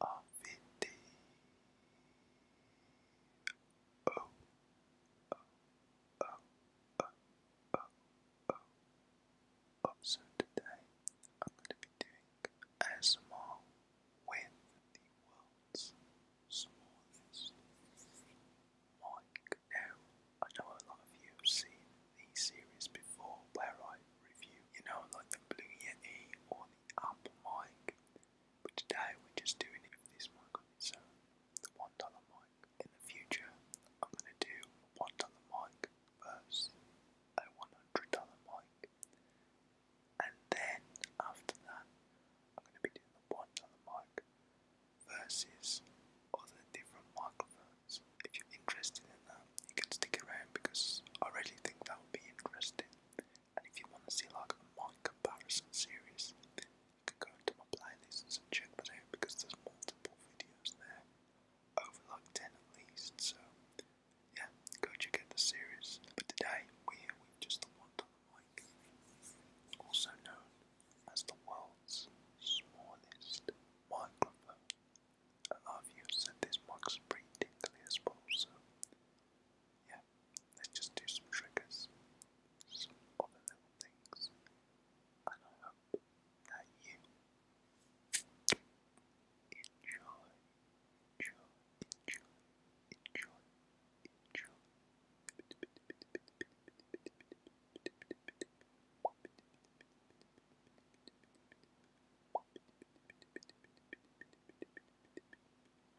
a video. Oh, oh, oh, oh, oh, oh. So today I'm going to be doing ASMR with the world's smallest mic. Now, I know a lot of you have seen these series before where I review, you know, like the Blue Yeti or the Apple mic. But today we're just doing this mic on the $1 mic. In the future, I'm going to do a $1 mic versus a $100 mic. And then after that, I'm going to be doing the $1 mic versus other different microphones. If you're interested in that, you can stick around because I really think that will be interesting. And if you want to see like a mod comparison series, you can go to my playlist and check that out because there's multiple videos there, over like 10 at least. So, yeah, go check out the series. But today, we're with just the one on the mic, also known as the world's smallest microphone. I've used this mic's pretty tickly as yeah, let's just do some triggers, some other little things, and I hope that you enjoy, enjoy, enjoy, enjoy, enjoy. Thank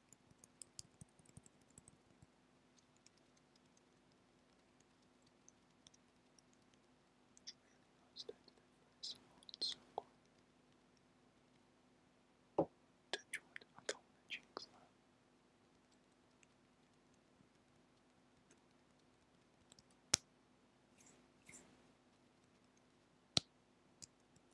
Touchwood, I'm calling the jinx now.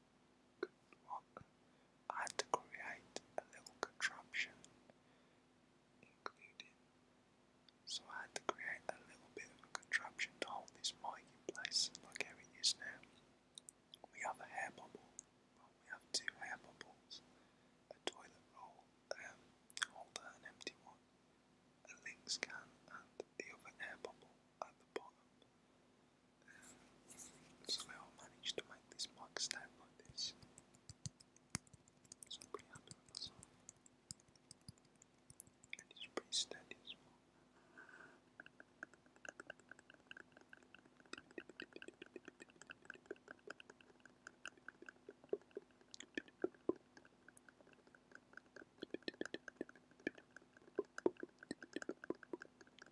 and create a little contraption, including. So I had to create a little bit of a contraption to hold this mic in place, like it is now. We have a hair bubble, we have two hair bubbles, a toilet roll um, holder, an empty one, a link scan, and the other air bubble at the bottom somehow managed to make this mic stand like this. So pretty happy And it's pretty steady as well.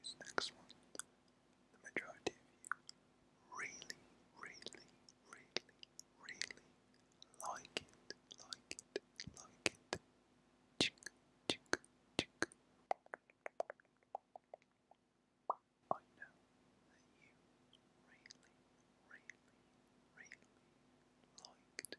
this next one. The majority of you really, really, really, really like it, like it, like it. Chick, chick, chick. I know that you really, really, really liked it.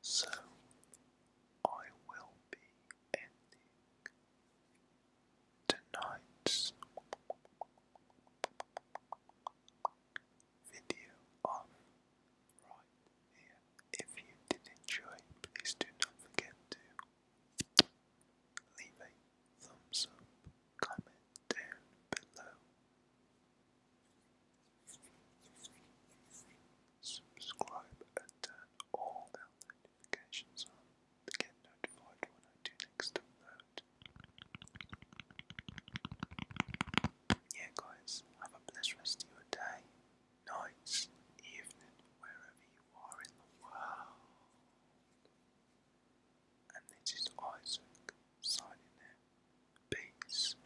So I will be ending tonight's video off right here. If you did enjoy, please do not forget to leave a thumbs up, comment down below subscribe and turn all bell notifications on get notified when I do next upload. Yeah guys, have a blessed rest of your day, nights, evening, wherever you are in the world. And this is Isaac signing out. Peace.